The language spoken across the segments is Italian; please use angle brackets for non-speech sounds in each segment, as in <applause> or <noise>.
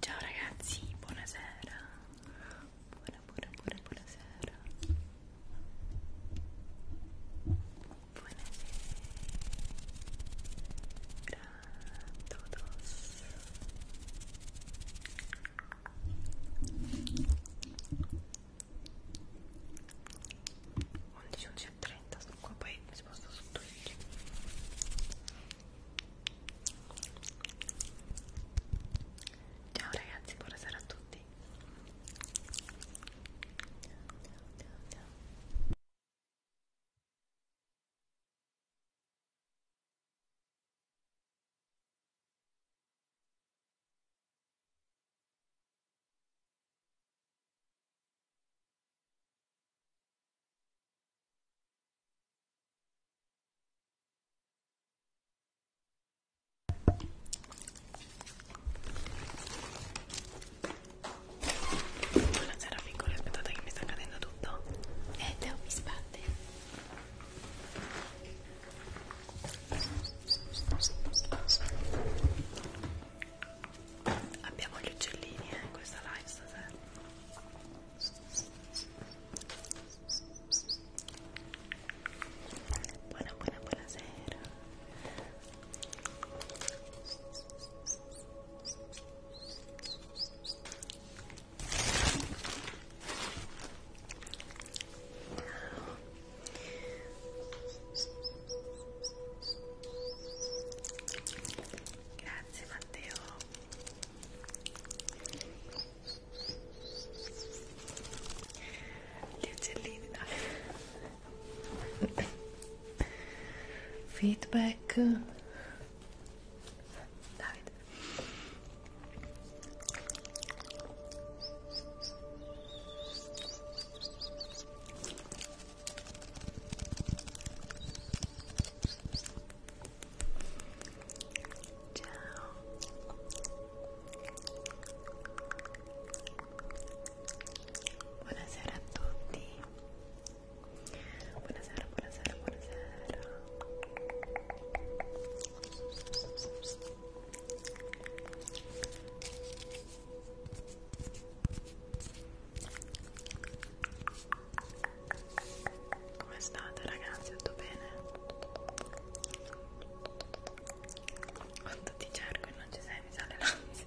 Ciao ragazzi, buonasera. Buona, buona, buona, buonasera. Buonasera. Grandodos. Ciao 11, 11 30 sono qua poi mi sposto su 12 ciao ragazzi buonasera a tutti ciao, ciao, ciao. Buonasera piccoli, aspettate che mi sta cadendo tutto. E eh, te mi sbatte abbiamo gli uccellini eh, in questa live stasera buona buona buonasera ciao Grazie Matteo. Gli uccellini dai. Feedback. Davide. Buonasera a tutti. Buonasera, buonasera, buonasera. Ciao come state ragazzi? Tutto bene? Quanto ti cerco e non ci sei, mi sale l'ansia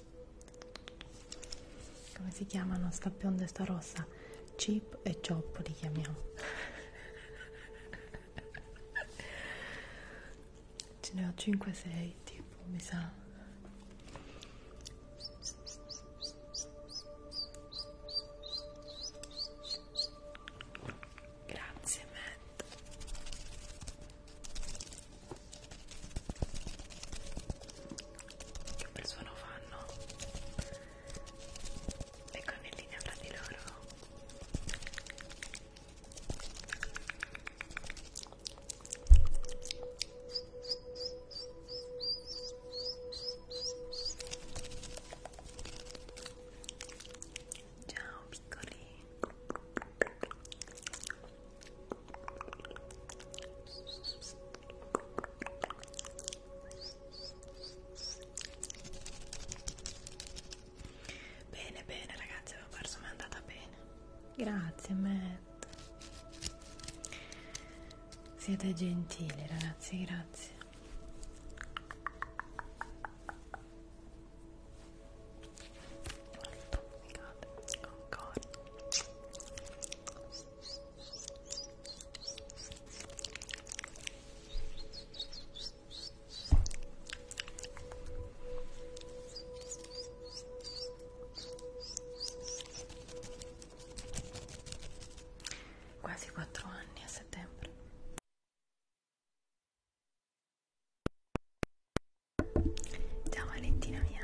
come si chiamano sta bionda e sta rossa chip e chop li chiamiamo <laughs> ce ne ho 5-6 tipo mi sa grazie Matt che per suono fanno e connellini fra di loro Ciao piccoli Bene, bene ragazzi, avevo perso, ma è andata bene. Grazie, Matt. Siete gentili, ragazzi, grazie. Ancora. Quasi quattro anni a settembre. Ciao Valentina mia.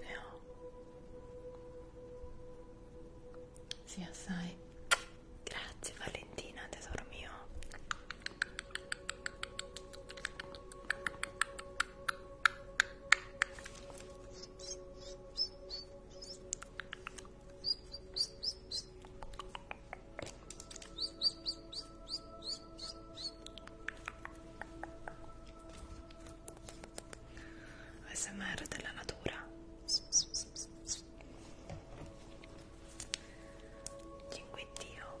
ne ho sì assai grazie Valentina tesoro mio ASMR della natura 5 Dio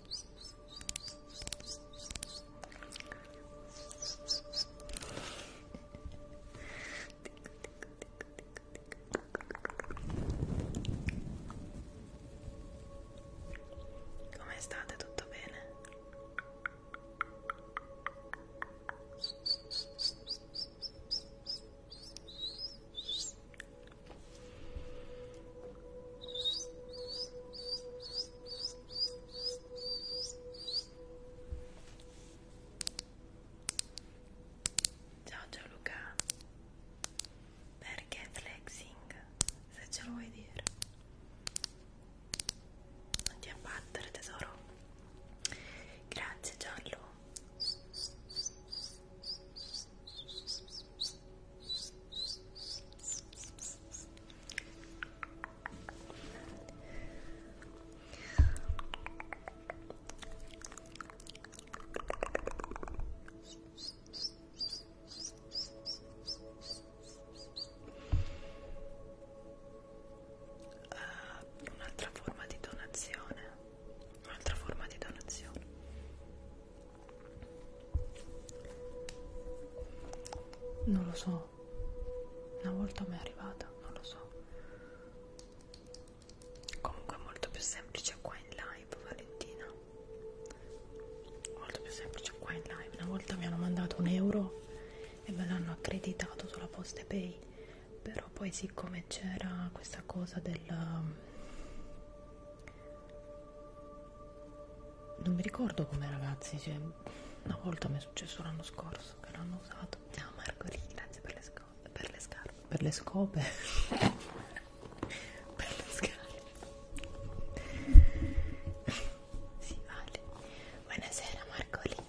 Come state? Tutto bene? Ciao Gianluca, perché flexing? Se ce lo vuoi dire, non ti abbattere, tesoro. Grazie, Giallo. Uh, un'altra forma di donazione un'altra forma di donazione non lo so no una volta mi è arrivata non lo so comunque è molto più semplice qua in live Valentina molto più semplice qua in live una volta mi hanno mandato un euro e me l'hanno accreditato sulla posta pay però poi siccome c'era questa cosa del um, non mi ricordo com'è ragazzi, cioè, una volta mi è successo l'anno scorso che l'hanno usato. Ciao no, Margherita, grazie per le, scope, per le scarpe. Per le scope. <laughs> per le scarpe. sì, vale. Buonasera Margherita.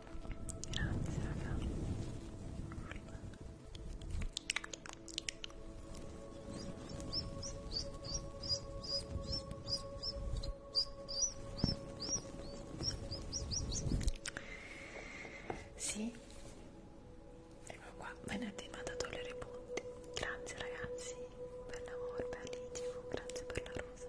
Grazie raga. Sì, ecco qua, venerdì mi ha dato le riponti. Grazie ragazzi per l'amore, per l'itimo, grazie per la rosa.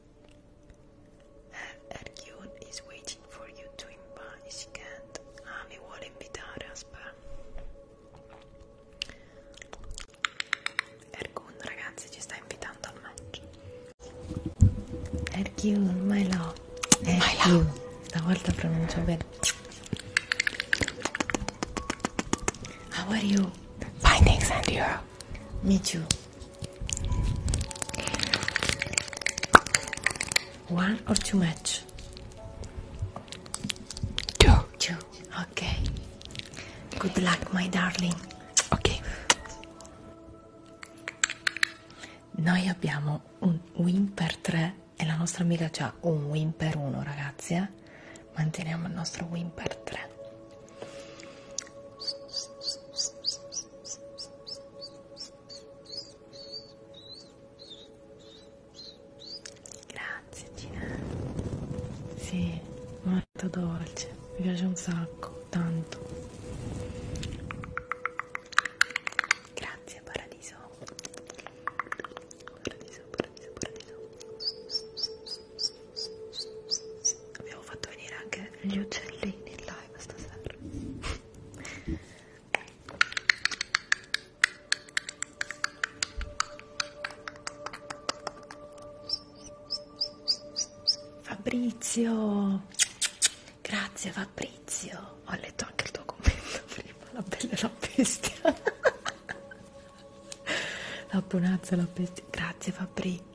Ergun is waiting for you to impatient. Ah, mi vuole invitare, aspetta. Ergun, ragazzi, ci sta invitando al match. Ergun, my love. Ergun, stavolta pronuncio bene. How are you? Fine, thanks, and you? Me too. One or too much? Two. Two. Okay. Good luck, my darling. Ok. Noi abbiamo un win per 3 e la nostra amica ha un win per 1, ragazzi. Eh? Manteniamo il nostro win per 3. Grazie Gina. Sì, molto dolce, mi piace un sacco, tanto. Grazie Paradiso. Paradiso, paradiso, paradiso. Abbiamo fatto venire anche gli uccellini in live stasera. Fabrizio, grazie Fabrizio, ho letto anche il tuo commento <laughs> prima, la bella e la bestia, la bonanza e la bestia, grazie Fabrizio.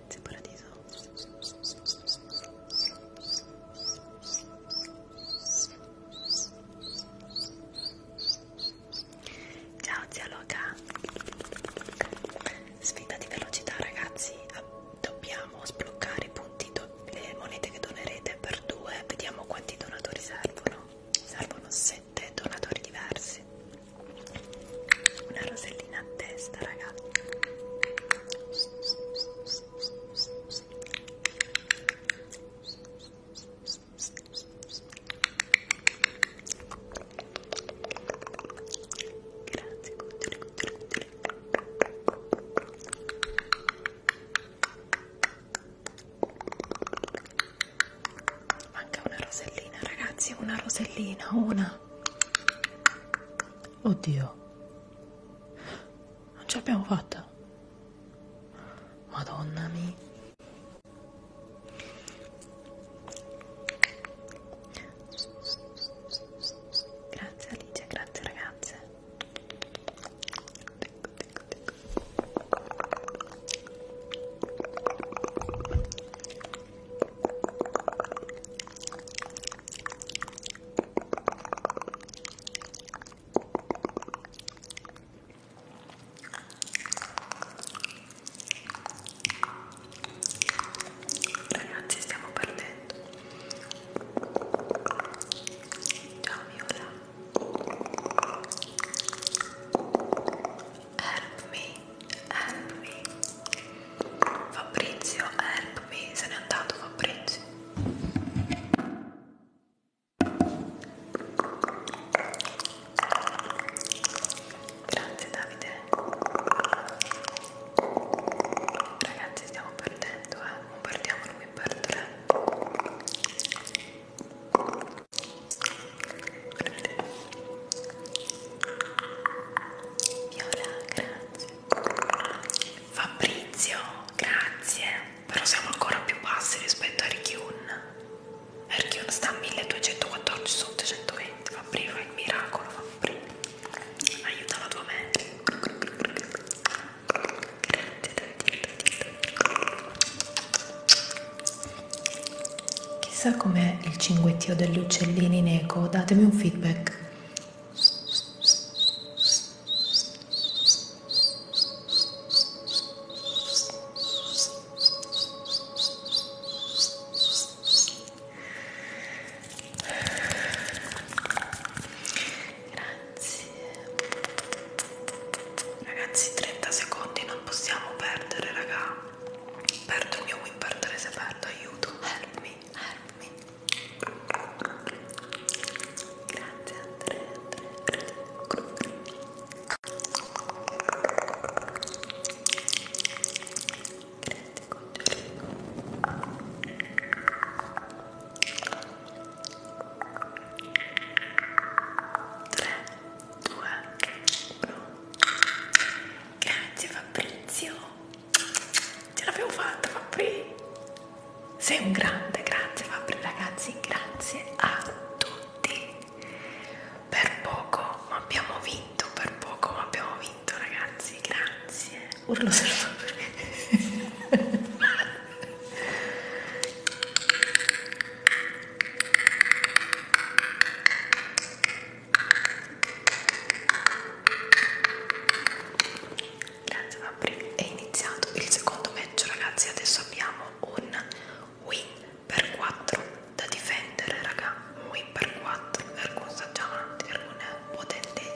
silenzio paradiso ciao zia Loca sfida di velocità ragazzi dobbiamo sbloccare i punti le monete che donerete per due vediamo quanti donatori servono servono sette donatori diversi una rosellina a testa ragazzi grazie cuttoli, cuttoli, cuttoli. manca una rosellina ragazzi una rosellina una Oddio, non ce l'abbiamo fatta. Madonna mia. Grazie Alice, grazie ragazze. Ecco, ecco, ecco. Ragazzi stiamo perdendo Ciao Viola help me, help me. Fabrizio, help me, se n'è andato Fabrizio. Grazie Davide. Ragazzi stiamo perdendo, eh. Non perdiamo, non mi perdere. Viola, grazie. Fabrizio, grazie. Però siamo ancora più bassi rispetto a Rikyun. Rikyun sta a 1214 su 820. Fabri, fa il miracolo. Fabri. Aiuta la tua mente. Grazie, Chissà com'è il cinguettio degli uccellini in eco, datemi un feedback. Grazie. Ragazzi, 30 secondi non possiamo perdere, raga. Perdo il mio win per 3 se perdo, aiuto, help me, help me. Grazie Andrea, Andrea. Grazie Congelino. 3, 2, 1. Grazie Fabrizio ce l'abbiamo fatta Fabri sei un grande grazie Fabri ragazzi grazie a tutti per poco ma abbiamo vinto per poco ma abbiamo vinto ragazzi grazie urlo solo Fabri Grazie Fabri. È iniziato il secondo match ragazzi, adesso abbiamo un win per 4 da difendere raga, un win per 4, ergo saggiamante, ergo un potentissimo.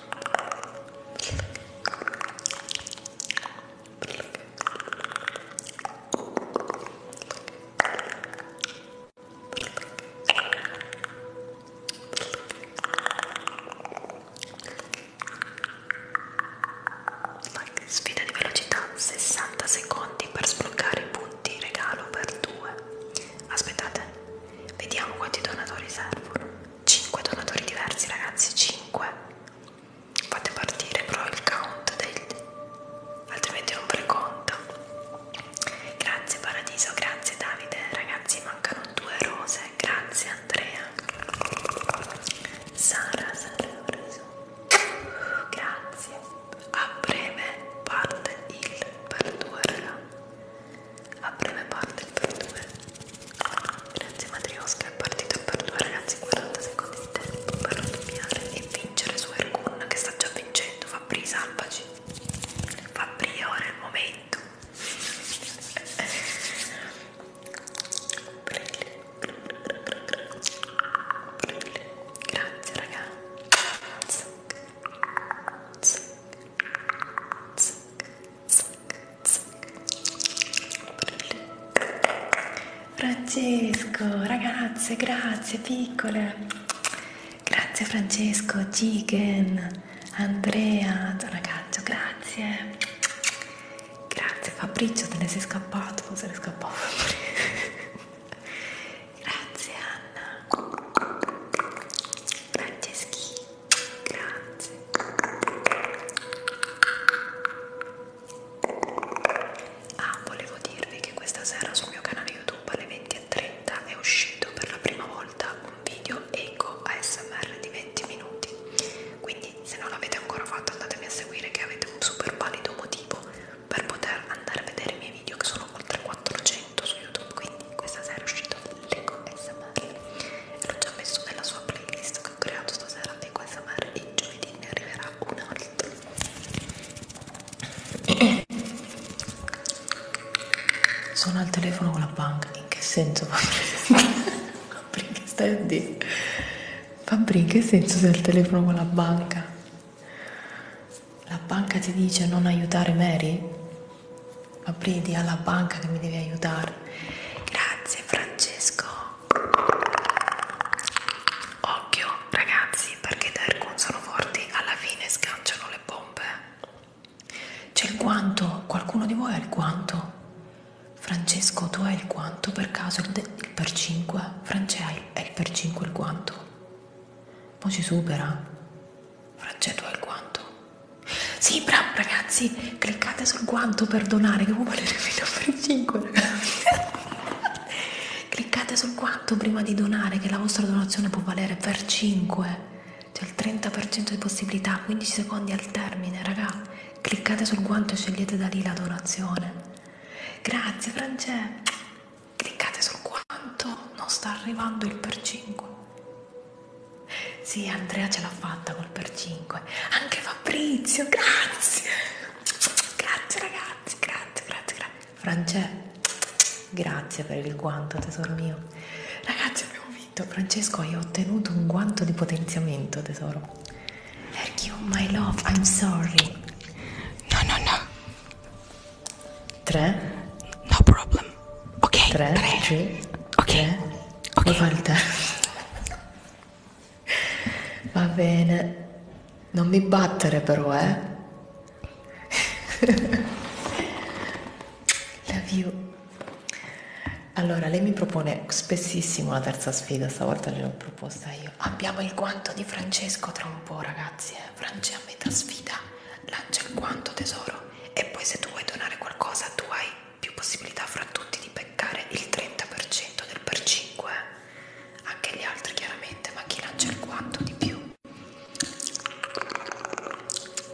Sfida di velocità 60 secondi per sbloccare i punti regalo per due. Aspettate, vediamo quanti donatori servono. 5 donatori diversi ragazzi 5 fate partire però il count del... altrimenti non preconta grazie paradiso grazie davide ragazzi mancano due rose grazie andrea sara sara grazie a breve parte il per due raga a breve parte il per 2 grazie Matriosca è partito il per 2 ragazzi 40 secondi di tempo per raddoppiare e vincere su Ergun che sta già vincendo Fabri salvaci Fabri ora è il momento grazie raga Zac, zac, zac, Francesco, ragazze, grazie piccole. Grazie Francesco, Gigen, Andrea, ragazzo, grazie. Grazie Fabrizio, te ne sei scappato, non se ne scappava. <laughs> grazie Anna. Franceschino. Grazie. Ah, volevo dirvi che questa sera sul mio canale YouTube alle 20.30 è uscito per la prima volta un video eco ASMR di 20 minuti. Quindi se non l'avete ancora fatto andatemi a seguire che avete un super valido motivo per poter andare a vedere i miei video che sono oltre 400 su YouTube. Quindi questa sera è uscito l'ASMR l'ho già messo nella sua playlist che ho creato stasera di ASMR e giovedì ne arriverà un altro sono <coughs> al telefono con la banca in che senso Fabri che <laughs> stai a dire Fabri in che senso sei al telefono con la banca la banca ti dice non aiutare Mary Apridi alla banca che mi devi aiutare. Grazie Francesco. Occhio ragazzi perché Darkun sono forti, alla fine scanciano le bombe. C'è il guanto, qualcuno di voi ha il guanto? Francesco tu hai il guanto per caso, il per 5? Francesco è il per 5 il guanto? Poi ci supera. Frangendo al guanto. Sì, bravo ragazzi, cliccate sul guanto per donare, che può valere fino a per 5 ragazzi. cliccate sul guanto prima di donare, che la vostra donazione può valere per 5. C'è il 30% di possibilità, 15 secondi al termine, raga. Cliccate sul guanto e scegliete da lì la donazione. Grazie Francesco. Cliccate sul guanto, non sta arrivando il per 5. Sì, Andrea ce l'ha fatta col per 5. Anche Fabrizio, grazie. Grazie ragazzi, grazie, grazie, grazie. Francesco, grazie per il guanto, tesoro mio. Ragazzi, abbiamo vinto. Francesco, hai ottenuto un guanto di potenziamento, tesoro. Thank you, my love, I'm sorry. No, no, no. 3. No problem. Ok, 3, 3. Ok, 3. ok. Falta. Va bene. Non mi battere però, eh. Love you. Allora, lei mi propone spessissimo la terza sfida, stavolta gliel'ho proposta io. Abbiamo il guanto di Francesco tra un po', ragazzi. Eh. Franci a metà sfida, lancia il guanto tesoro e poi se tu vuoi donare qualcosa tu hai più possibilità fra tutti di beccare il 30% del per 5, anche gli altri chiaramente, ma chi lancia il quanto di più.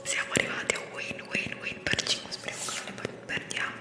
Siamo arrivati a win win win per 5, speriamo che non ne perdiamo.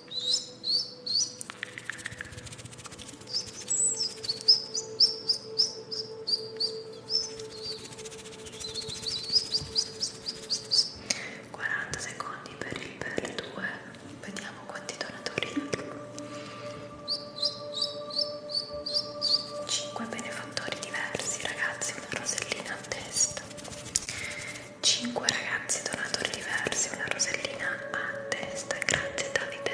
40 secondi per il per 2 vediamo quanti donatori 5 benefattori diversi ragazzi una rosellina a testa 5 ragazzi donatori diversi una rosellina a testa, grazie Davide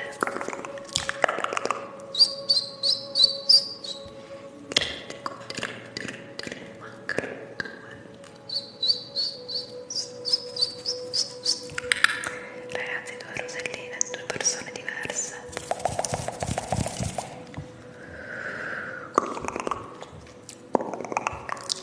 ragazzi due roselline, due persone diverse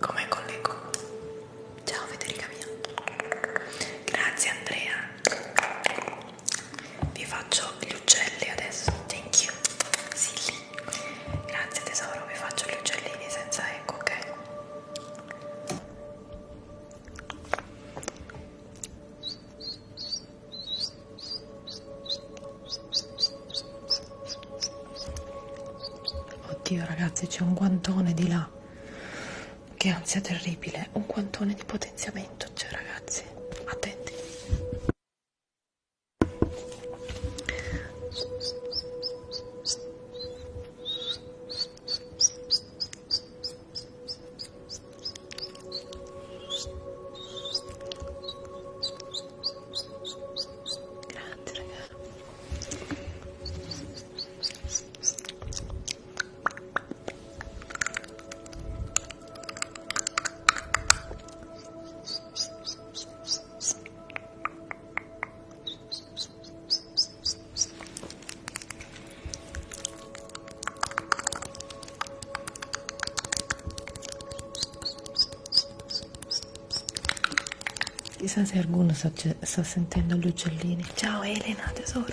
Come collego? Ciao Federica mia. Grazie Andrea. Vi faccio gli uccelli adesso. Thank you. Silly. Grazie tesoro, vi faccio gli uccellini senza eco, ok? Oddio ragazzi, c'è un guantone di là. Che ansia terribile, un quantone di potenziamento, cioè ragazzi, attenti. Grazie ragazzi. Chissà se qualcuno sta, sta sentendo gli uccellini. Ciao Elena, tesoro.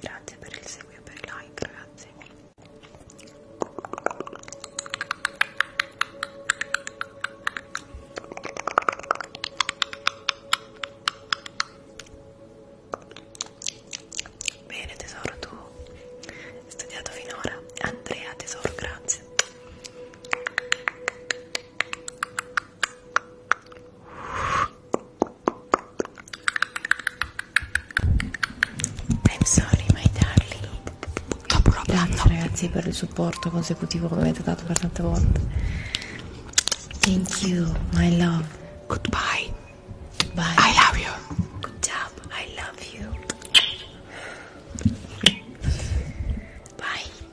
Grazie per il seguito e per il like, ragazzi. Bene tesoro, tu hai studiato finora. Andrea tesoro, grazie. I'm sorry my darling Grazie ragazzi per il supporto consecutivo che mi avete dato per tante volte Thank you my love Goodbye Bye I love you Good job I love you Bye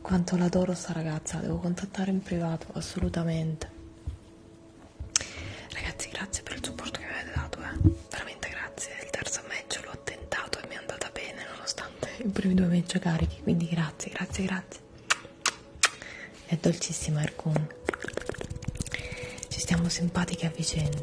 quanto l'adoro sta ragazza, la devo contattare in privato, assolutamente. Ragazzi, grazie per il supporto che mi avete dato, eh. Veramente grazie. Il terzo match l'ho attentato e mi è andata bene nonostante i primi due match carichi, quindi grazie, grazie, grazie. È dolcissima Erkun. Ci stiamo simpatiche a vicenda.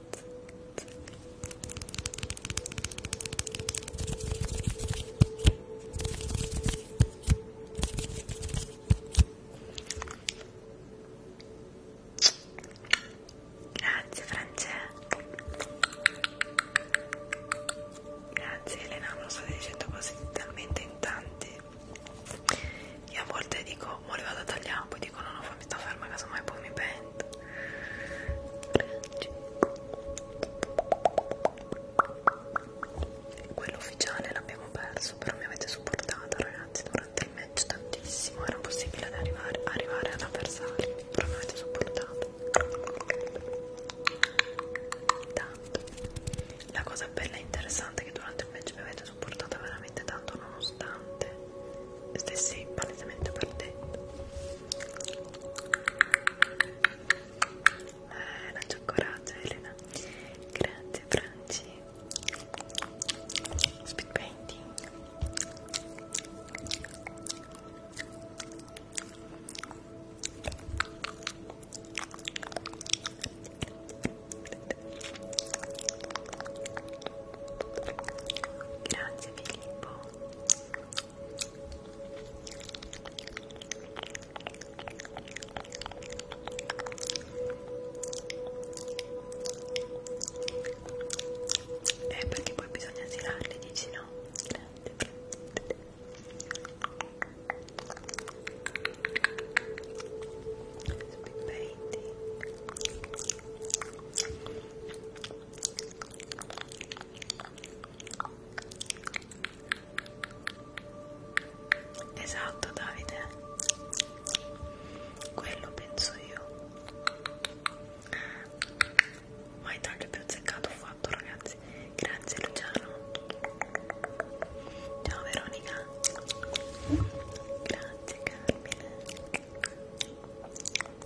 Grazie Francesca. Grazie Elena, me lo state dicendo così talmente in tanti. Io a volte dico, ma le vado a tagliare, poi dico no, no, fammi sta ferma, casomai poi mi pento quello ufficiale l'abbiamo perso però mi avete supportato ragazzi durante il match tantissimo era possibile arrivare, arrivare ad avversari però mi avete supportato tanto la cosa bella e interessante è che durante il match mi avete supportato veramente tanto nonostante stessi palesemente perdendo eh, non c'ho coraggio Elena grazie Franci speed painting Grazie Filippo eh, perché poi bisogna girarli, dici no? Grande, grande. Spippetti. Esatto, Davide. Quello penso io. Ma il taglio più azzeccato ho fatto, ragazzi. Grazie Luciano. Ciao Veronica. Grazie Carmine.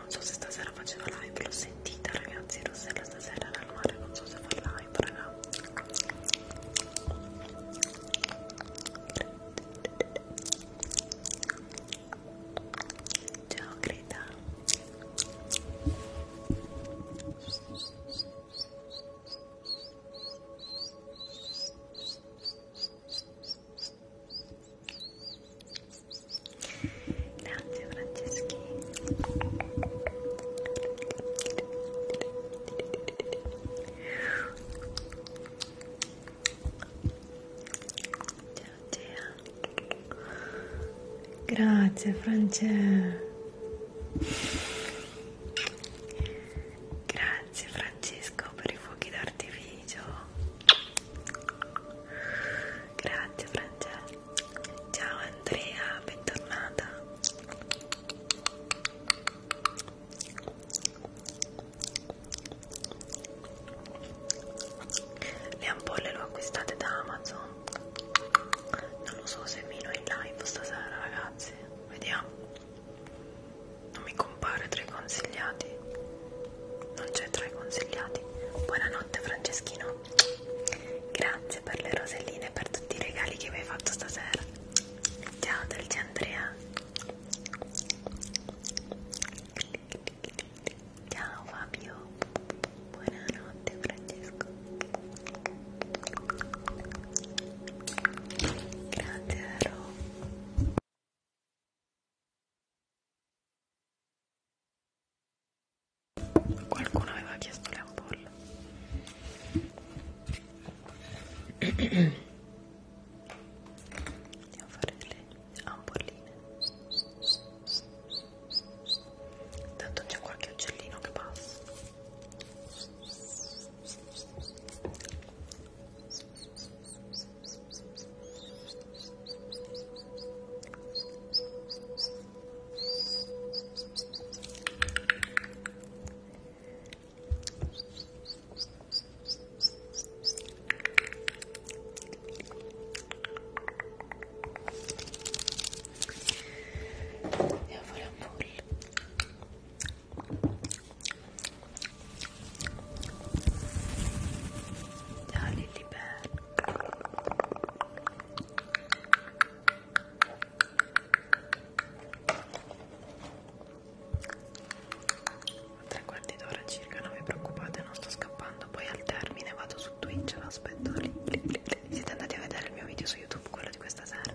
non so se stasera faceva live, l'ho sentita ragazzi, Rossella stasera era al mare, non so se fa live raga Ciao Greta Grazie Franceschi. Ciao Gea. Grazie Francesca. Grazie Francesco per i fuochi d'artificio. Grazie Francesca. Ciao Andrea, bentornata. Le ampolle le ho acquistate da Amazon. Non lo so se Mino è in live stasera, ragazzi. Vediamo. Non mi compare tra i consigliati. Non c'è tra i consigliati. Buonanotte Franceschino. Grazie per le roselline e per tutti i regali che mi hai fatto stasera. Ciao dolce Andrea. Ciao Fabio. Buonanotte Francesco. Grazie Ro. Qualcuno aveva chiesto le ampolle. Andiamo a fare delle ampolline. Tanto c'è qualche uccellino che passa. Andiamo a fare un pull Ciao Lilibel tre quarti d'ora circa non vi preoccupate non sto scappando poi al termine vado su Twitch lo aspetto lì, lì, lì, lì. siete andati a vedere il mio video su YouTube quello di questa sera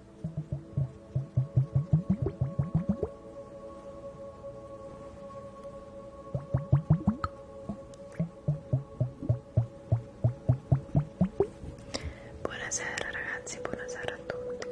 Buonasera ragazzi, buonasera a tutti.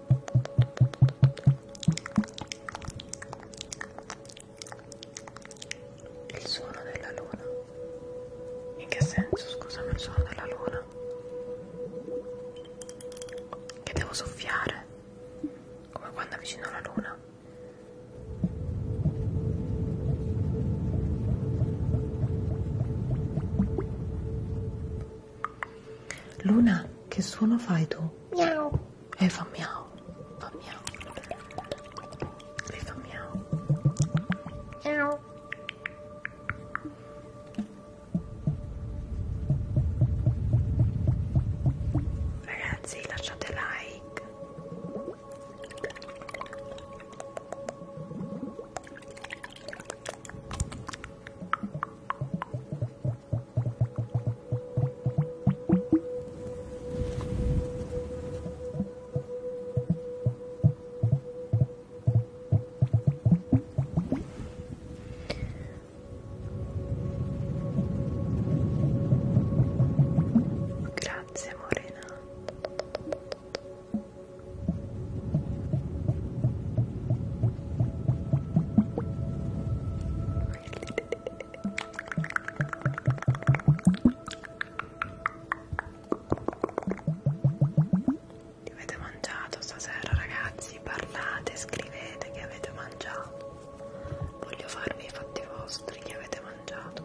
Il suono della luna. In che senso, scusami, il suono della luna? Che devo soffiare? Come quando avvicino la luna? Luna, che suono fai tu? Miau. E eh, fa miau. Fa miau. Lei fa miau. Miau. Ragazzi, lasciate like. Grazie Morena. Che avete mangiato stasera ragazzi? Parlate, scrivete che avete mangiato. Voglio farvi i fatti vostri che avete mangiato.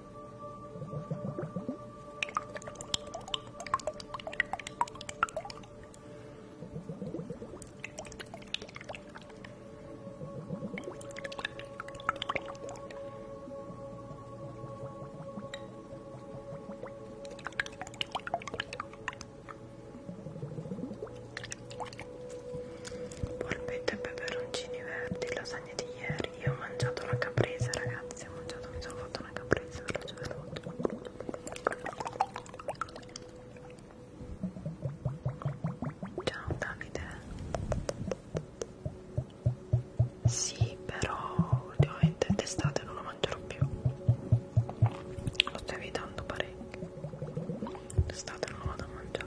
Polpette e peperoncini verdi, lasagne di ieri. Io ho mangiato la caprese, ragazzi si è mangiato, mi sono fatto una caprese veloce veloce Ciao Davide Sì però ultimamente d'estate non lo mangerò più Lo sto evitando parecchio D'estate non lo vado a mangiare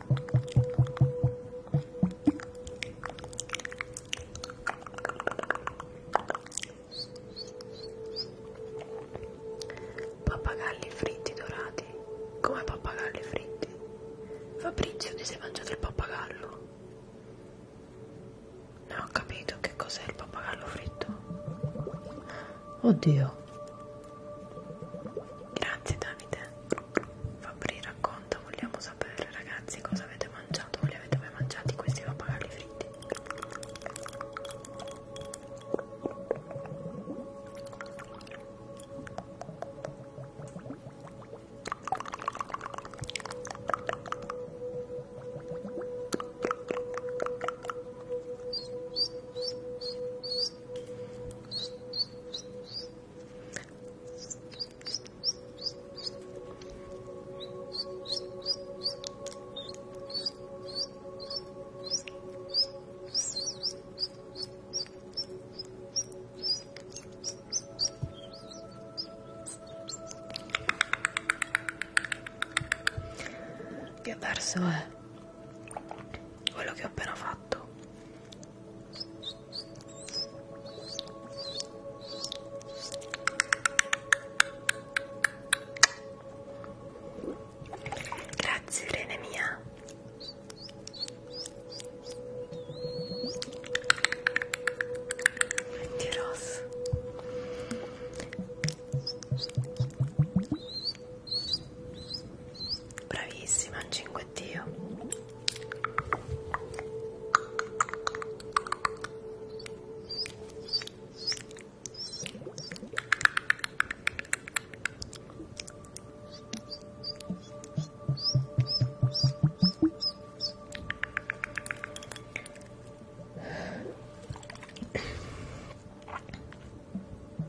Pappagalli fritti dorati. Come pappagalli fritti? Fabrizio, ti sei mangiato il pappagallo? Non ho capito che cos'è il pappagallo fritto. Oddio. Grazie Davide. Fabri racconta, vogliamo sapere ragazzi cosa avete mangiato, voi li avete mai mangiati questi pappagalli fritti? che verso è eh, quello che ho appena fatto Grazie Irene mia. Metti rosso. Bravissima, un cinguettio.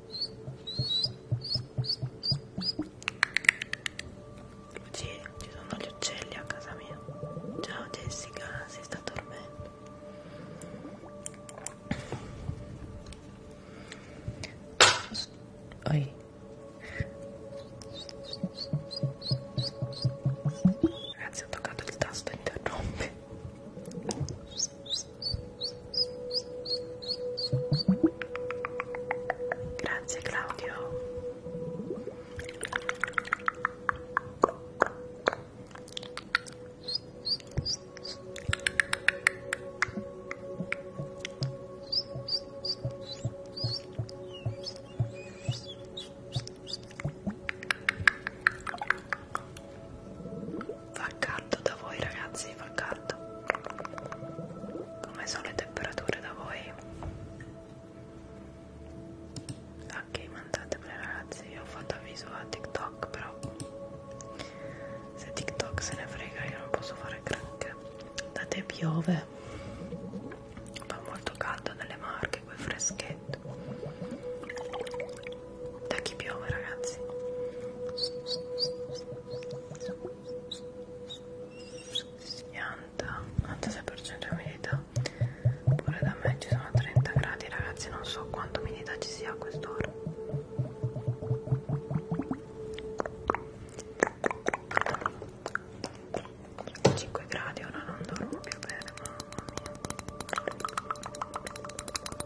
Sì, ci sono gli uccelli a casa mia. Ciao Jessica, si sta dormendo. Oi. Ragazzi, ho toccato il tasto interrompe. Grazie Claudio. Fa caldo da voi ragazzi, fa caldo. Come sono le temperature da voi? Ok, mandatemele ragazzi, io ho fatto avviso a TikTok, però se TikTok se ne frega io non posso fare granché. Da te piove, fa molto caldo nelle marche, quel freschetto da chi piove ragazzi Pianta 96% umidità pure da me ci sono 30 gradi ragazzi non so quanta umidità ci sia a quest'ora a 5 gradi ora non dormo più bene mamma mia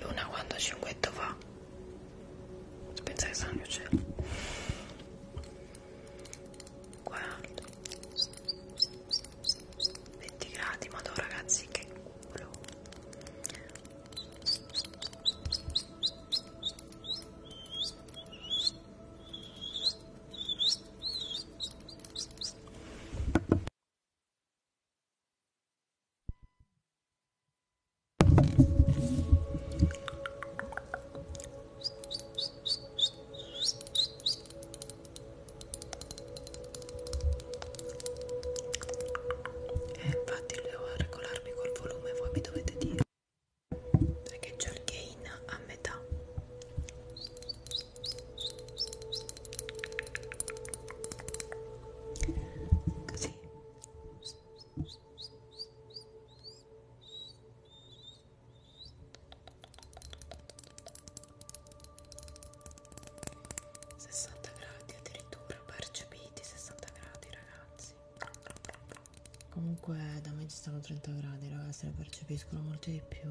Luna quando a cinquetto fa? Pensa che sono mio cielo. Guarda. 20 gradi, ma ragazzi che culo. E eh, infatti devo regolarmi col volume, voi mi dovete dire perché c'ho il gain a metà così Sessanta gradi addirittura percepiti, sessanta gradi ragazzi. Comunque da me ci stanno 30 gradi, ragazzi, le percepiscono molto di più.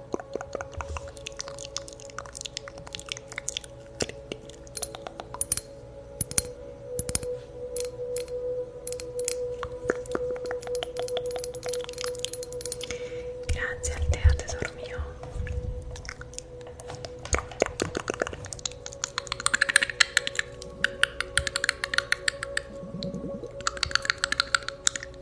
Grazie al teo tesoro mio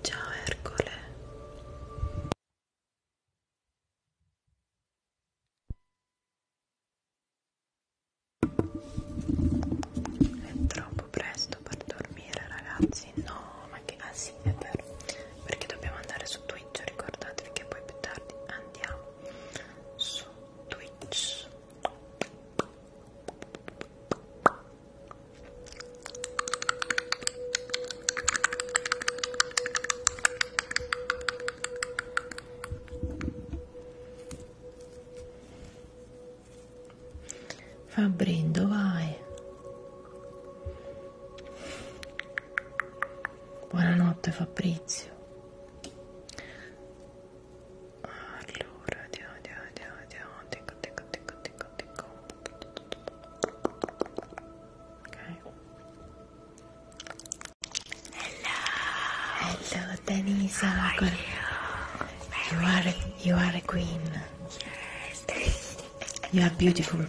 Ciao Ercole. È troppo presto per dormire, ragazzi. No, ma che ah sì, è vero. Perché dobbiamo andare su Twitch, ricordatevi che poi più tardi andiamo su Twitch. Fa brindo, vai. Buonanotte Fabrizio. Allora, andiamo, andiamo, andiamo, andiamo, andiamo, andiamo, andiamo, Hello. Hello, Denise. you? are you are a queen. Yes. you are beautiful.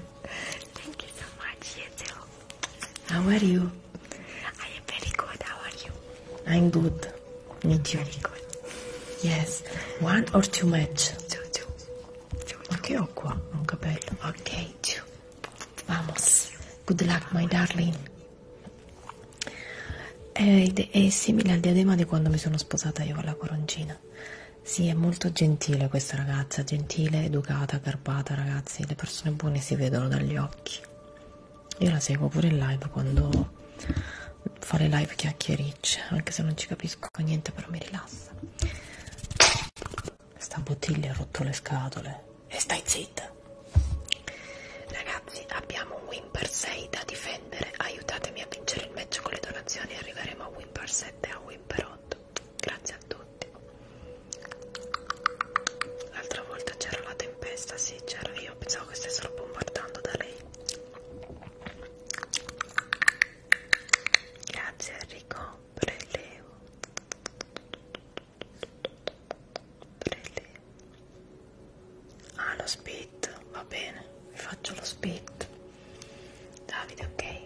Thank you so much. How are you? I am very good. How are you? I'm good. Me too. Very good. Yes. One or two match? Two, two. Ciao, ciao. Ma che ho qua? Un capello. Ok, ciao. Vamos. Good luck, my darling. È, è simile al diadema di quando mi sono sposata io con la coroncina. Sì, è molto gentile questa ragazza, gentile, educata, garbata, ragazzi, le persone buone si vedono dagli occhi. Io la seguo pure in live quando fare live chiacchiericce anche se non ci capisco niente però mi rilassa sta bottiglia ha rotto le scatole e stai zitta ragazzi abbiamo un win per 6 da difendere aiutatemi a vincere il match con le donazioni arriveremo a win per 7 e a win per 8 grazie a tutti l'altra volta c'era la tempesta sì c'era io pensavo che stessero bombardando da lei Grazie Enrico, prelevo. Prelevo. Ah, lo spit, va bene, vi faccio lo spit. Davide, ok.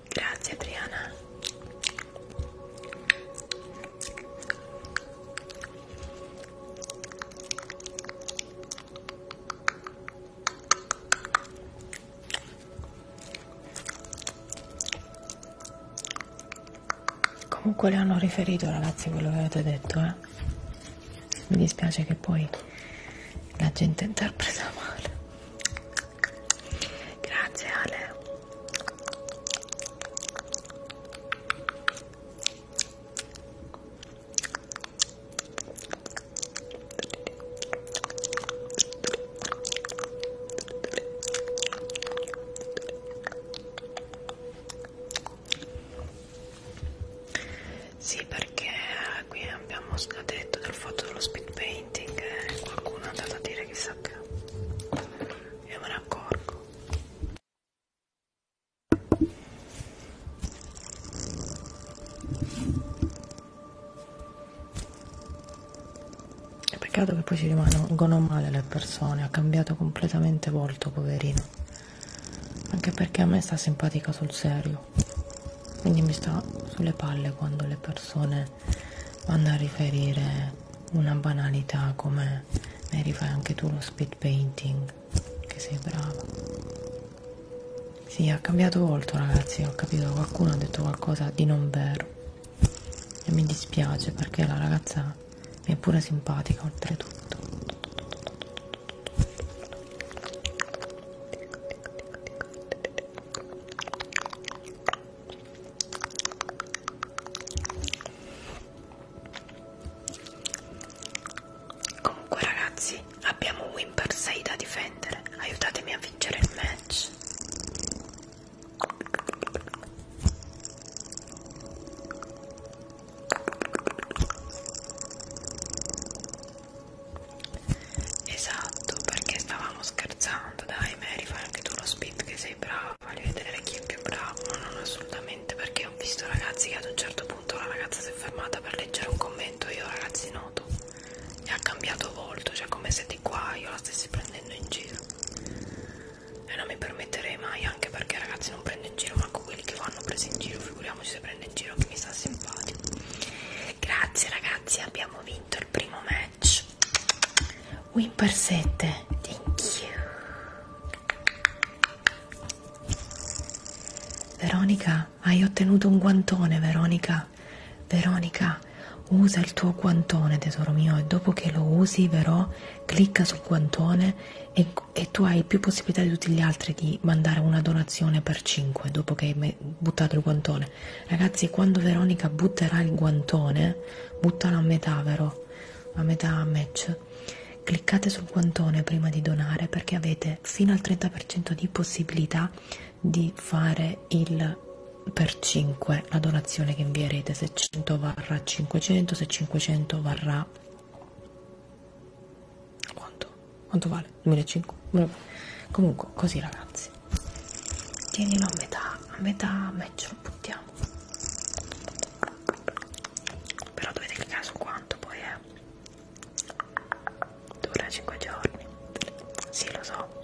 Grazie Adriana. Comunque le hanno riferito ragazzi quello che avete detto, eh. Mi dispiace che poi la gente interpreta male. Grazie Ale. Sì, perché eh, qui abbiamo scadetto dal fatto dello speed paint painting e eh. qualcuno è andato a dire chissà che io me ne accorgo è peccato che poi ci rimangono male le persone ha cambiato completamente volto poverino anche perché a me sta simpatica sul serio quindi mi sta sulle palle quando le persone quando a riferire una banalità come ne rifai anche tu lo speed painting che sei bravo sì, ha cambiato volto ragazzi, ho capito, qualcuno ha detto qualcosa di non vero e mi dispiace perché la ragazza mi è pure simpatica oltretutto. Comunque ragazzi, abbiamo Win per 6 da difendere. Aiutatemi a vincere il match. Esatto, perché stavamo scherzando, dai Mary, fai anche tu lo speed che sei bravo, voglio vedere chi è più bravo, no, non assolutamente, perché ho visto ragazzi che ad un certo punto la ragazza si è fermata per leggere un commento, io ragazzi noto, e ha cambiato volto, cioè come se di qua io la stessi prendendo in giro, e non mi permetterei mai, anche perché ragazzi non prendo in giro, ma con quelli che vanno presi in giro, figuriamoci se prende in giro che mi sta simpatico. Grazie ragazzi, abbiamo vinto il primo match much. Whimper 7, thank you. Veronica, hai ottenuto un guantone, Veronica. Veronica, usa il tuo guantone, tesoro mio, e dopo che lo usi, Vero, clicca sul guantone e, e tu hai più possibilità di tutti gli altri di mandare una donazione per 5 dopo che hai buttato il guantone guantone. Ragazzi, quando Veronica butterà il guantone, buttalo a metà, vero? A metà match. Cliccate sul guantone prima di donare perché avete fino al 30% di possibilità di fare il per 5 la donazione che invierete se 100 varrà 500 se 500 varrà quanto? quanto vale? 2005? comunque così ragazzi sì. tienilo a metà a metà match lo buttiamo però dovete cliccare su quanto poi è dura 5 giorni sì lo so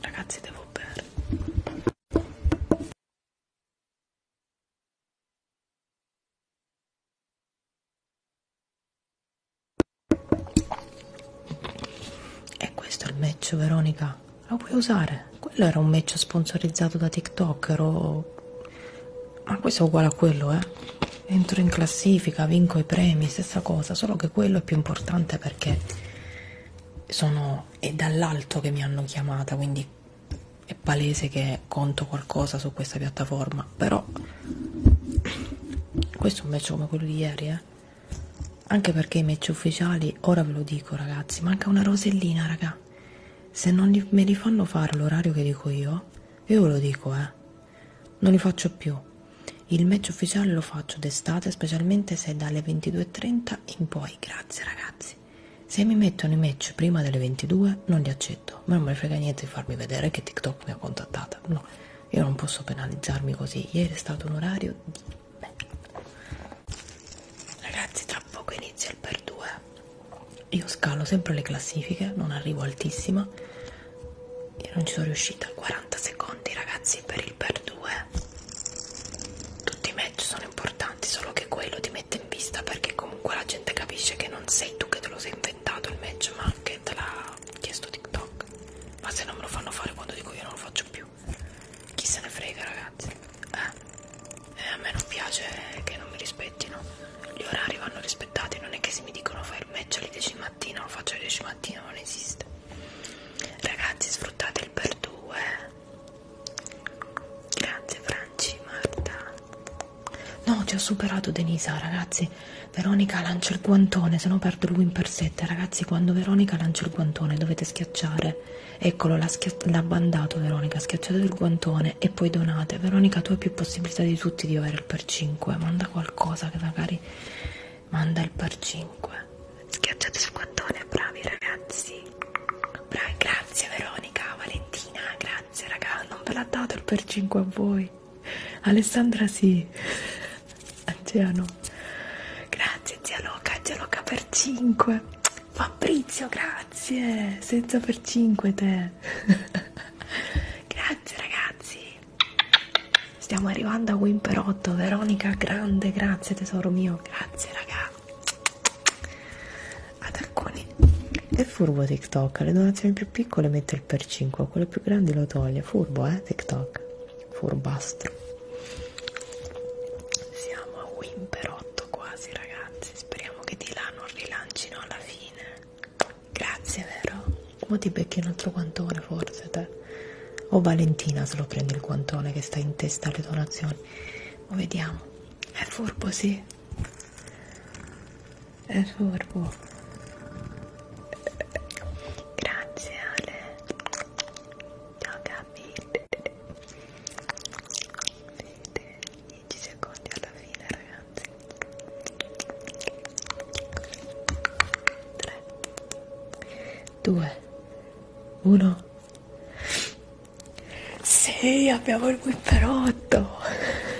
Ragazzi, devo bere. E questo è il meccio, Veronica. Lo puoi usare? Quello era un meccio sponsorizzato da TikTok, ero... Ma questo è uguale a quello, eh? Entro in classifica, vinco i premi, stessa cosa, solo che quello è più importante perché sono è dall'alto che mi hanno chiamata, quindi è palese che conto qualcosa su questa piattaforma, però questo è un match come quello di ieri, eh? Anche perché i match ufficiali, ora ve lo dico ragazzi, manca una rosellina, raga. Se non li, me li fanno fare l'orario che dico io, io ve lo dico, eh. Non li faccio più. Il match ufficiale lo faccio d'estate, specialmente se è dalle 22.30 in poi, grazie ragazzi. Se mi mettono i match prima delle 22 non li accetto, ma non mi frega niente di farmi vedere che TikTok mi ha contattata, no, io non posso penalizzarmi così, ieri è stato un orario di merda. Ragazzi tra poco inizia il per 2, io scalo sempre le classifiche, non arrivo altissima, io non ci sono riuscita, 40 secondi ragazzi per il per 2, tutti i match sono importanti solo che quello ti mette in vista perché comunque la gente capisce che non sei tu che te lo sei inventato il match ma che te l'ha chiesto TikTok ma se non me lo fanno fare quando dico io non lo faccio più chi se ne frega ragazzi eh, eh a me non piace che non mi rispettino gli orari vanno rispettati non è che se mi dicono fai il match alle 10 di mattina lo faccio alle 10 di mattina non esiste Ragazzi, sfruttate il per due. Grazie Franci, Marta. No, ti ho superato Denisa, ragazzi. Veronica lancia il guantone, se no perdo il win per 7. Ragazzi, quando Veronica lancia il guantone dovete schiacciare. Eccolo, l'ha bandato Veronica, schiacciate il guantone e poi donate. Veronica, tu hai più possibilità di tutti di avere il per 5. Manda qualcosa che magari manda il par 5 schiacciate su quattone bravi ragazzi bravi grazie Veronica Valentina grazie raga non ve l'ha dato il per 5 a voi Alessandra sì Angela no grazie zia Loca zia Loca per 5 Fabrizio grazie senza per 5 te <laughs> grazie ragazzi Stiamo arrivando a Wimperotto, Veronica, grande, grazie tesoro mio, grazie raga. Attacconi. È furbo TikTok, le donazioni più piccole mette il per 5, quelle più grandi lo toglie. Furbo, eh, TikTok. Furbastro. Siamo a Wimperotto quasi, ragazzi. Speriamo che di là non rilancino alla fine. Grazie, vero? Mo ti becchi un altro quantone, forse, te. O Valentina se lo prende il guantone che sta in testa alle donazioni. Ma vediamo. È furbo, sì. È furbo. Grazie Ale. Ciao Gabi. 10 secondi alla fine ragazzi. 3 2, 1. Sì, abbiamo il whipperotto.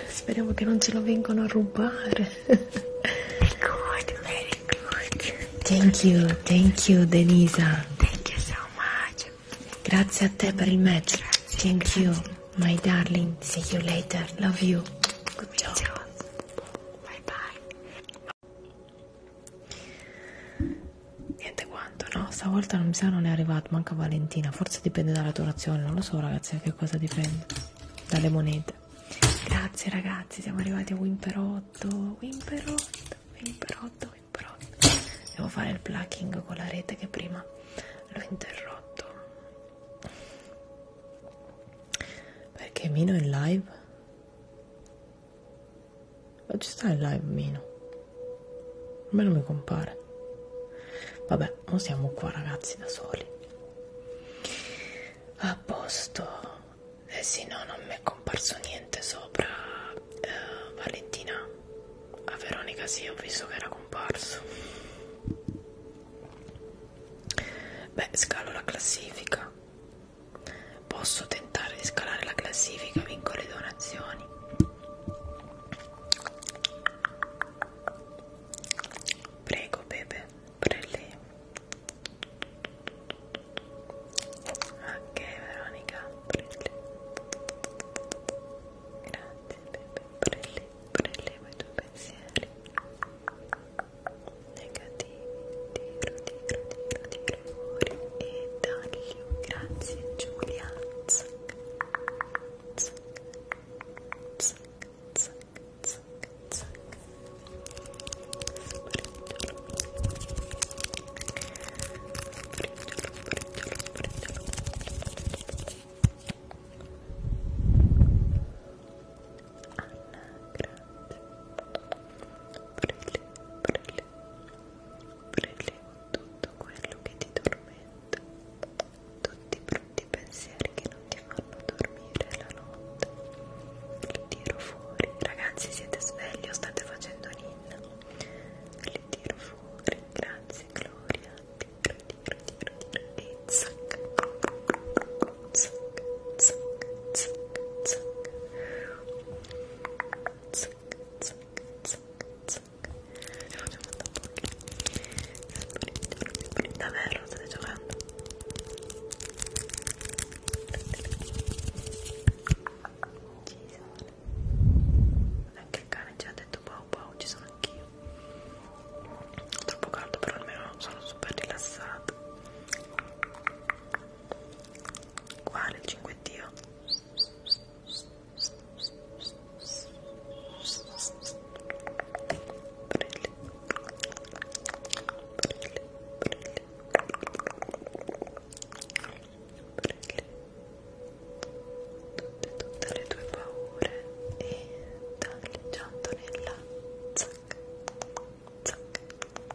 Speriamo che non ce lo vengano a rubare. Good, very good. Thank you, thank you Denisa. Thank you so much. Grazie a te per il match. Grazie, thank grazie. you, my darling. See you later. Love you. Good job. Bye bye niente quanto no stavolta non mi sa non è arrivato manca Valentina forse dipende dalla donazione non lo so ragazzi a che cosa dipende dalle monete grazie ragazzi siamo arrivati a Wimperotto Wimperotto Wimperotto Wimperotto devo fare il plucking con la rete che prima l'ho interrotto perché Mino è in live ma ci sta in live Mino? A me non mi compare. Vabbè, non siamo qua ragazzi da soli. A posto. Eh sì, no, non mi è comparso niente sopra eh, Valentina. A Veronica sì, ho visto che era comparso. Beh, scalo la classifica. Posso tentare di scalare la classifica, vinco le donazioni. Prego, Pepe, per lei. Ok, Veronica, prelli. Grazie, Pepe, prelli, prelli i tuoi pensieri. tiro, tiro, tiro, tiro fuori e taglio. Grazie Giulia. Zac, zac, zac, zac, zac, zac. Brindolo. Brindolo, brindolo, brindolo. grazie prelevo, prelevo tutto quello che ti tormenta tutti i brutti pensieri che non ti fanno dormire la notte li tiro fuori ragazzi siete svegli o state facendo ninna li tiro fuori grazie Gloria tiro tiro tiro tiro e zac zac, zac, zac, zac. Zac, zac, zac, zac. Ne facciamo da poco. Davvero, state giocando? Ci Anche il cane ci ha detto wow boh, wow, boh, ci sono anch'io. Troppo caldo, però almeno sono super rilassata uguale il cinguettio brilli brilli brilli brilli tutte, tutte le tue paure e tagliando nella zac zac zac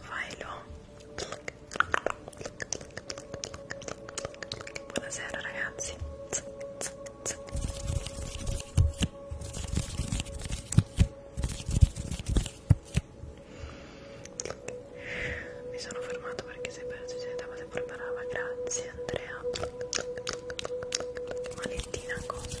Failo. Buonasera ragazzi. Mi sono fermato perché sei perso, sei andata pure brava, grazie Andrea. Malettina cosa?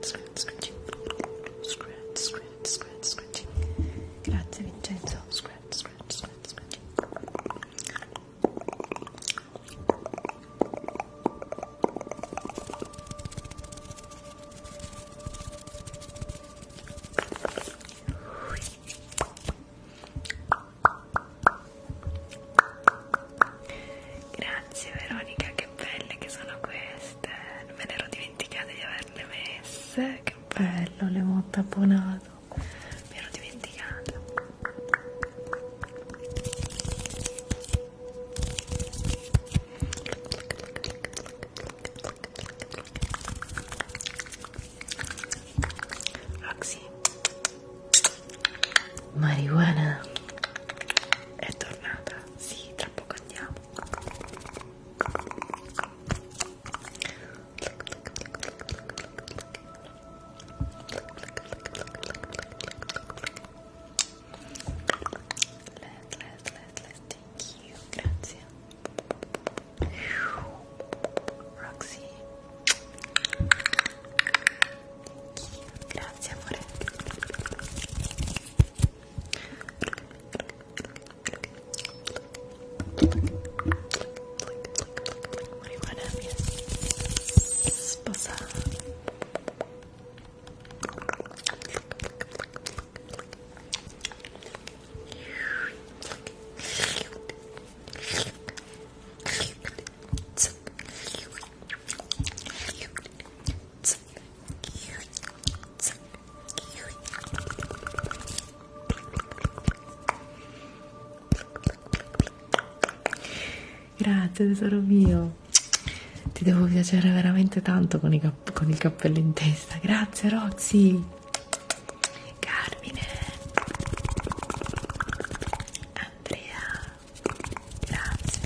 scratching scratch scratch scratch scratching grazie Vincenzo scratch scratch scratch scratching Grazie Veronica, che belle che sono queste, non me ne ero dimenticata dimenticato di averle messe che bello le ho tapponato mi ero dimenticata Roxy marijuana è tornata sì tra poco nascondiamo let, let, let, let, thank you, grazie Roxy Thank you, grazie amore what do you want to have here? Sposa. It's Grazie tesoro mio, ti devo piacere veramente tanto con, i cap con il cappello in testa. Grazie Roxy, Carmine, Andrea, grazie.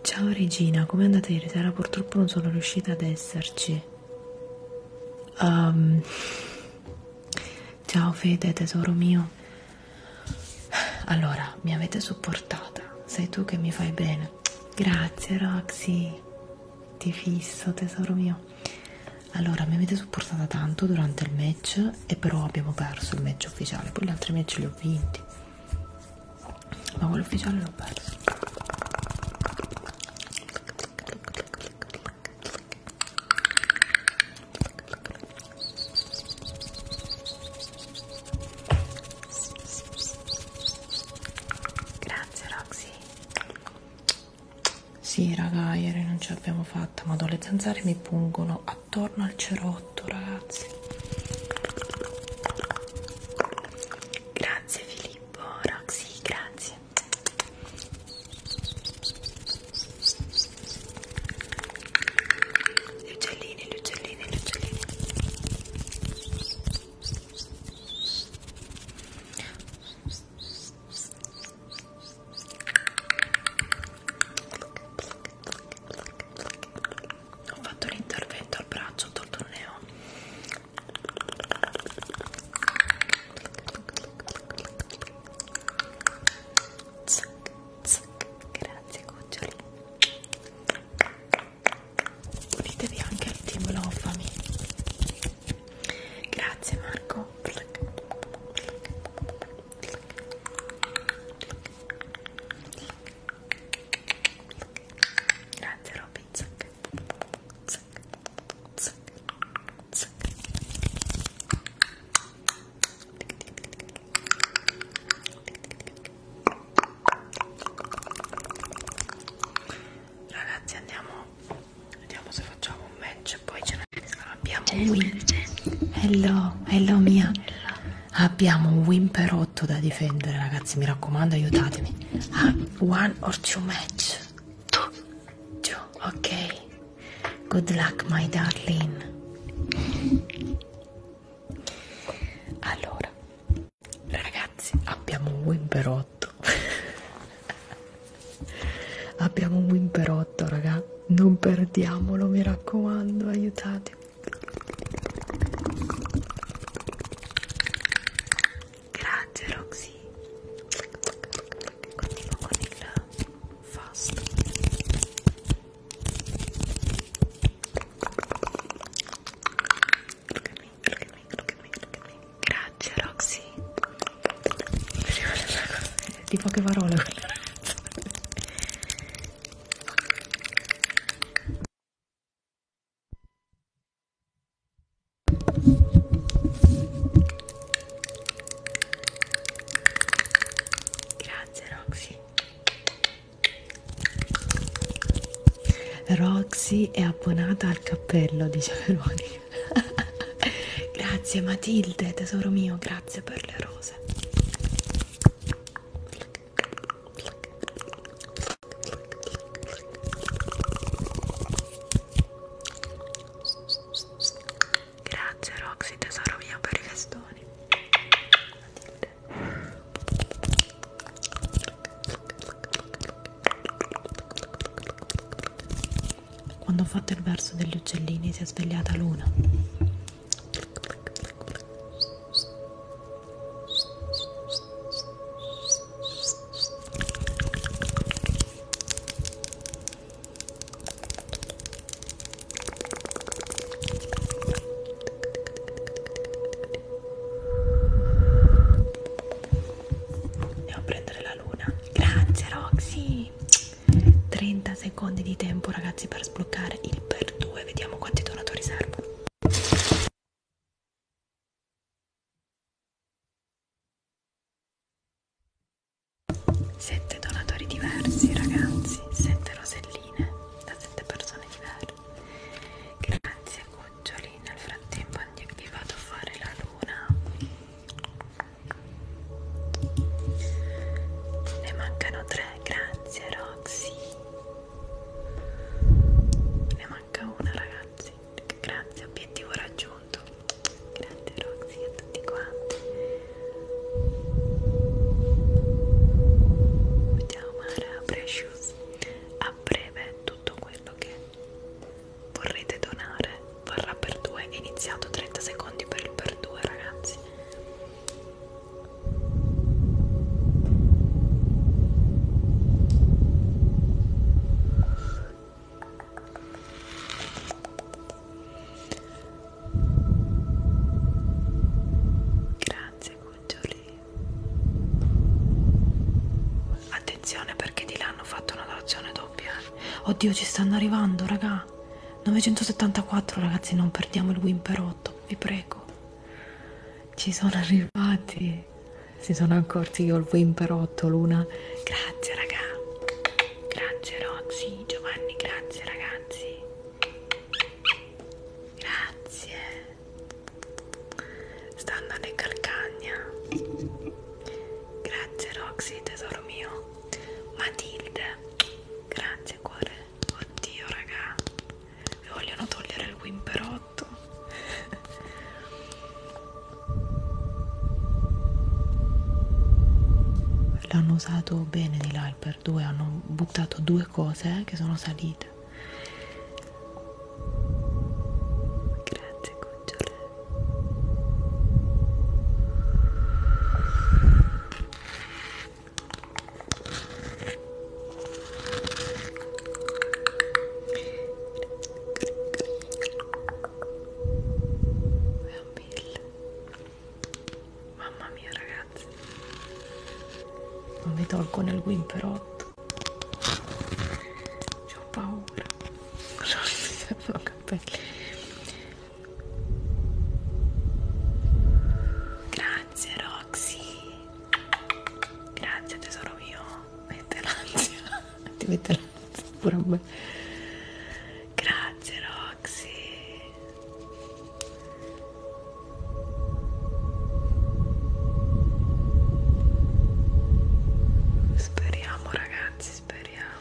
Ciao Regina, come andate ieri sera? Purtroppo non sono riuscita ad esserci. Um, ciao Fede, tesoro mio. Allora, mi avete supportata. Sei tu che mi fai bene. Grazie Roxy, ti fisso tesoro mio. Allora, mi avete supportata tanto durante il match e però abbiamo perso il match ufficiale, poi gli altri match li ho vinti ma quello ufficiale l'ho perso grazie Roxy sì raga ieri non ce l'abbiamo fatta ma le zanzare mi pungono attorno al cerone otto ragazzi grazie Filippo Roxy grazie gli uccellini gli uccellini gli uccellini ho fatto l'intervento al braccio, ho tolto il neo zac, zac. grazie cuccioli unitevi anche al team Lovami grazie Marco Grazie Robin, zac, zac, zac, zac. Ragazzi andiamo, vediamo se facciamo un match e poi ce ne abbiamo un Hello, hello mia. Hello. Abbiamo un Whimper otto da difendere, ragazzi, mi raccomando, aiutatemi. Ah, one or two match. Two. Two, ok. Good luck, my darling. Allora, ragazzi, abbiamo un win per 8. <laughs> abbiamo un win per 8, raga. Non perdiamolo, mi raccomando, aiutatemi. Grazie Roxy. Continuo con il fast. Look at me, look at me, look at me, look at me. Grazie Roxy. Di poche parole quella ragazza. Grazie Roxy. Roxy è abbonata al cappello di Veronica. <laughs> grazie Matilde, tesoro mio, grazie per le rose. Grazie Roxy tesoro mio per i festoni quando ho fatto il verso degli uccellini si è svegliata Luna Andiamo a prendere la luna. Grazie Roxy. 30 secondi di tempo ragazzi per sbloccare il per 2. Vediamo quanti donatori servono. Sette donatori diversi, ragazzi, sette roselline da sette persone diverse. Grazie, cuccioli. Nel frattempo vi vado a fare la luna. Ne mancano tre, grazie Roxy ne manca una ragazzi grazie obiettivo raggiunto grazie Roxy a tutti quanti vediamo Mara Precious a breve tutto quello che vorrete donare varrà per due iniziato 30 secondi per il per due ragazzi Grazie Cuccioli. Attenzione perché di là hanno fatto una donazione doppia. Oddio, ci stanno arrivando, raga. 974 ragazzi, non perdiamo il Wimperotto, vi prego. Ci sono arrivati. Si sono accorti che ho il Wimperotto, Luna. Grazie, raga. Grazie, Roxy, Giovanni, grazie, ragazzi. Grazie. Stanno alle calcagna. Grazie, Roxy, tesoro mio. Matilde. Grazie, cuore. Oddio, raga mi vogliono togliere il whimperotto l'hanno usato bene di là il per due hanno buttato due cose che sono salite grazie cucciole Mamma mia ragazzi, non vi tolgo nel guimperotto, ho paura, non mi servono capelli. Grazie Grazie Roxy. Grazie tesoro mio. Mette l'ansia. Ti mette l'ansia pure a me. Grazie Roxy. Speriamo ragazzi, speriamo.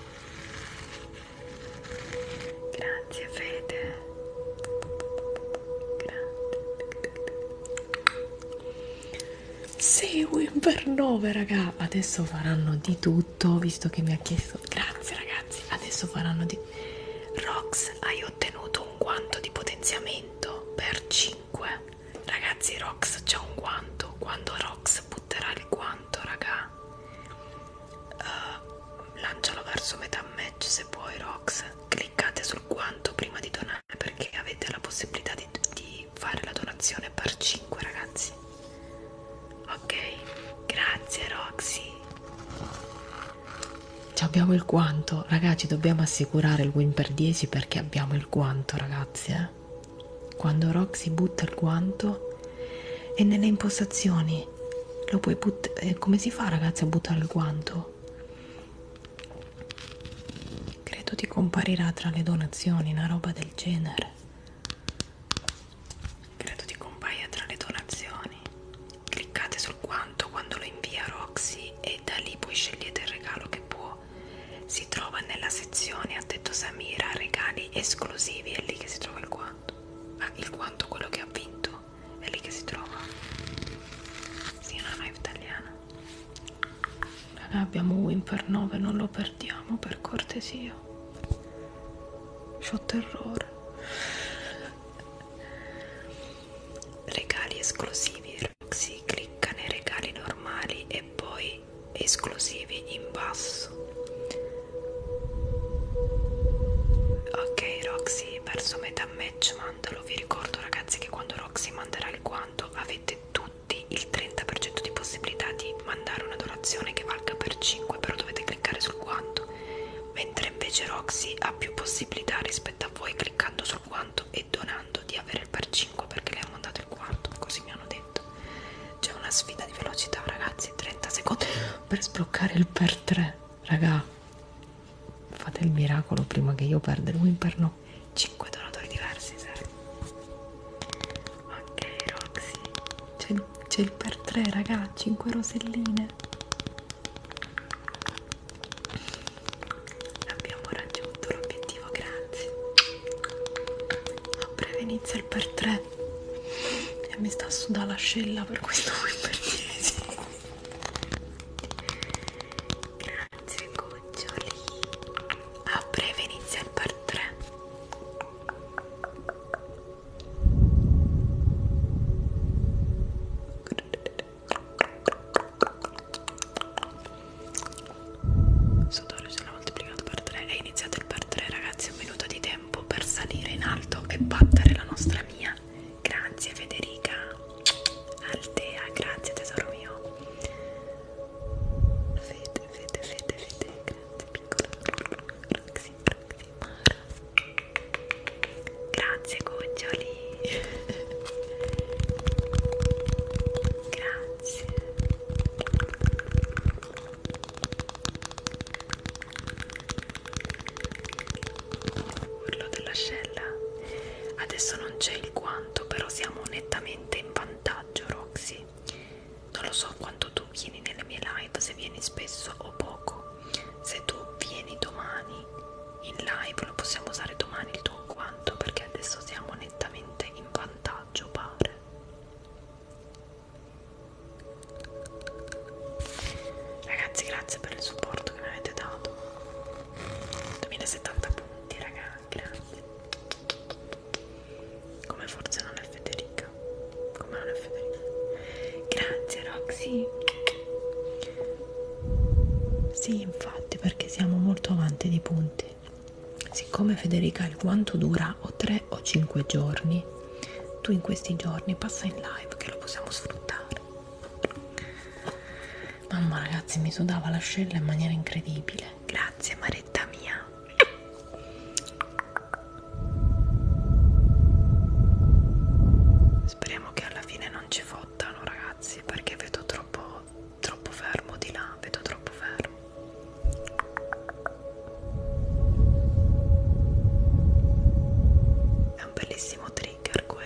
Grazie Fede. Grazie. Seguin per 9 raga adesso faranno di tutto visto che mi ha chiesto grazie ragazzi adesso faranno di Rox hai ottenuto un guanto di potenziamento per 5 ragazzi Rox c'ha un guanto quando Rox butterà il guanto raga uh, lancialo verso metà match se puoi Rox cliccate sul guanto prima di donare perché avete la possibilità di, di fare la donazione per 5 ragazzi ok grazie Roxy ci abbiamo il guanto ragazzi dobbiamo assicurare il win per 10 perché abbiamo il guanto ragazzi eh? quando Roxy butta il guanto e nelle impostazioni lo puoi buttare eh, come si fa ragazzi a buttare il guanto Credo ti comparirà tra le donazioni una roba del genere. Credo ti compaia tra le donazioni. Cliccate sul quanto quando lo invia Roxy e da lì poi scegliete il regalo che può. Si trova nella sezione, ha detto Samira, regali esclusivi, è lì che si trova il quanto. Ah, il quanto quello che ha vinto è lì che si trova. Sì, una no, no, italiana. Noi abbiamo win per 9, non lo perdiamo per cortesia. C'ho terrore. Regali esclusivi. Roxy clicca nei regali normali e poi esclusivi in basso. Ok Roxy, hai perso metà match ma mandalo. Vi ricordo ragazzi che quando Roxy manderà il guanto avete tutti il 30% di possibilità di mandare una donazione che valga per 5, però dovete cliccare sul guanto, mentre invece Roxy ha più possibilità rispetto a voi cliccando sul guanto e donando di avere il per 5 perché le ha mandato il guanto, così mi hanno detto. C'è una sfida di velocità ragazzi, 30 secondi per sbloccare il per 3, raga fate il miracolo prima che io perda il Wimperno 5 donatori diversi serio. ok Roxy c'è il, il per 3 raga 5 roselline abbiamo raggiunto l'obiettivo grazie a breve inizia il per 3 e mi sta sudando l'ascella per questo Wimperniese <laughs> Grazie grazie cuccioli a breve inizia il part 3 Sodoro ce l'ha moltiplicato per 3 è iniziato il per 3 ragazzi un minuto di tempo per salire in alto e battere la nostra mia grazie Federica Altea, grazie tesoro mio. Fede, fede, fede, fede, grazie piccola. Roxy, Roxy, Mara. Grazie goccioli. grazie. Urlo dell'ascella Adesso non c'è il quanto, però siamo nettamente in vantaggio, Roxy. Non lo so quanto tu vieni nelle mie live, se vieni spesso o poco. Se tu vieni domani in live, lo possiamo usare domani il tuo quanto, perché adesso siamo nettamente in vantaggio, pare. Ragazzi, grazie per il supporto che mi avete dato. 2070 punti raga, grazie come forse non è Federica come non è Federica grazie Roxy sì infatti perché siamo molto avanti di punti siccome Federica il guanto dura o 3 o 5 giorni tu in questi giorni passa in live che lo possiamo sfruttare mamma ragazzi mi sudava l'ascella in maniera incredibile grazie maretta mia speriamo che alla fine non ci fottano ragazzi perché vedo troppo troppo fermo di là vedo troppo fermo è un bellissimo trigger quello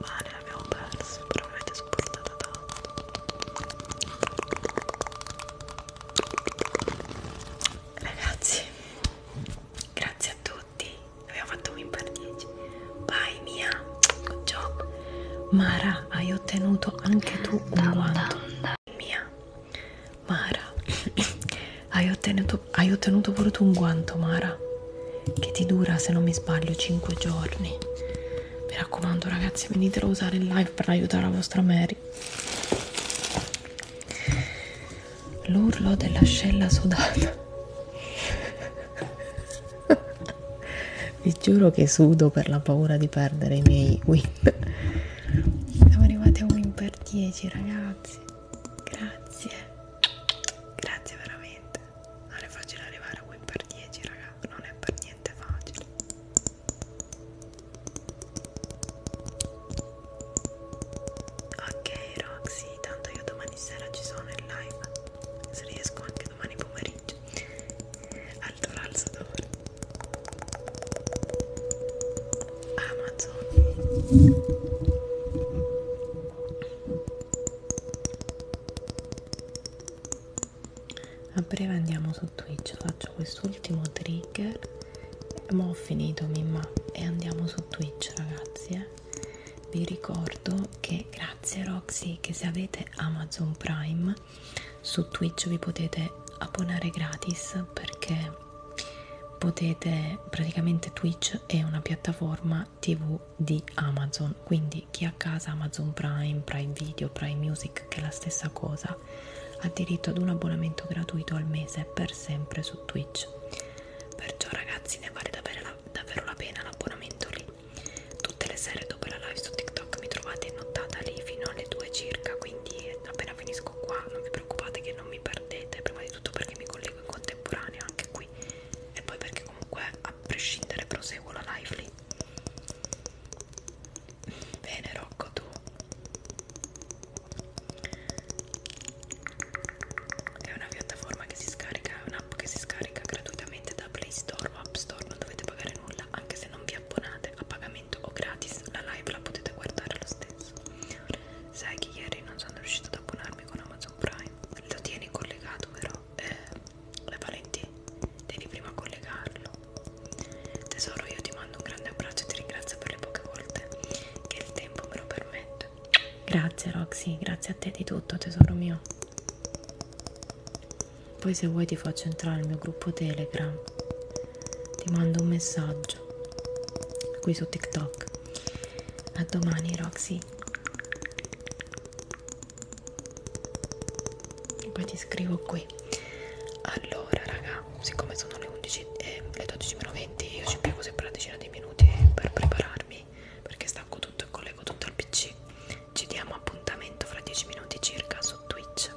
Male l'abbiamo perso, però mi avete supportato tanto. Ragazzi, grazie a tutti. Abbiamo fatto un per 10. Vai Mia, good job. Mara, hai ottenuto anche tu un guanto. Mia, Mara, <coughs> hai ottenuto ottenuto, hai ottenuto voluto un guanto, Mara, che ti dura, se non mi sbaglio, 5 giorni. Mi raccomando, ragazzi, venitelo a usare in live per aiutare la vostra Mary. L'urlo dell'ascella sudata. <laughs> Vi giuro che sudo per la paura di perdere i miei win. Siamo arrivati a win per 10, ragazzi. Grazie. Grazie veramente non è facile arrivare a win per 10 raga non è per niente facile ok Roxy tanto io domani sera ci sono in live se riesco anche domani pomeriggio alto l'alzatore Amazon a breve andiamo su twitch faccio quest'ultimo trigger ma ho finito mimma e andiamo su twitch ragazzi eh. vi ricordo che grazie roxy che se avete amazon prime su twitch vi potete abbonare gratis perché potete praticamente twitch è una piattaforma la tv di Amazon quindi chi ha a casa Amazon Prime, Prime Video, Prime Music che è la stessa cosa ha diritto ad un abbonamento gratuito al mese per sempre su Twitch perciò ragazzi ne vale davvero la, davvero la pena l'abbonamento lì tutte le sere dopo la live su TikTok mi trovate nottata lì fino alle 2 circa quindi appena finisco qua non vi preoccupate che non mi perdete prima di tutto perché mi collego in contemporanea anche qui voi e poi perché comunque a prescindere proseguo la live lì bene Rocco tu è una piattaforma che si scarica è un'app che si scarica gratuitamente da Play Store o App Store non dovete pagare nulla anche se non vi abbonate a pagamento o gratis la live la potete guardare lo stesso sai che ieri non sono riuscito ad abbonarmi con Amazon Prime lo tieni collegato però eh, Valentì, devi prima collegarlo. Tesoro, io ti mando un grande abbraccio e ti ringrazio per le poche volte che il tempo me lo permette. Grazie Roxy, grazie a te di tutto tesoro mio. Poi se vuoi ti faccio entrare nel mio gruppo Telegram. Ti mando un messaggio qui su TikTok. A domani Roxy e poi ti scrivo qui allora raga siccome sono le 11 e le 12.20 io ci piego sempre una decina di minuti per prepararmi perché stacco tutto e collego tutto al pc ci diamo appuntamento fra 10 minuti circa su twitch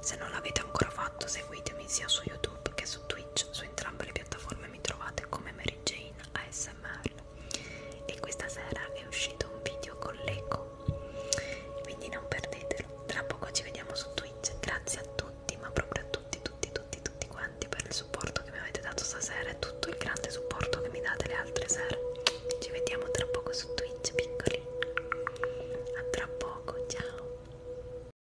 se non l'avete ancora fatto seguitemi sia su youtube che su twitch su entrambe le piattaforme mi trovate come Mary Jane ASMR e questa sera è uscito un video con l'eco quindi non perdetelo tra poco ci vediamo su Twitch grazie a tutti ma proprio a tutti tutti tutti tutti quanti per il supporto che mi avete dato stasera e tutto il grande supporto che mi date le altre sere ci vediamo tra poco su Twitch piccoli a tra poco ciao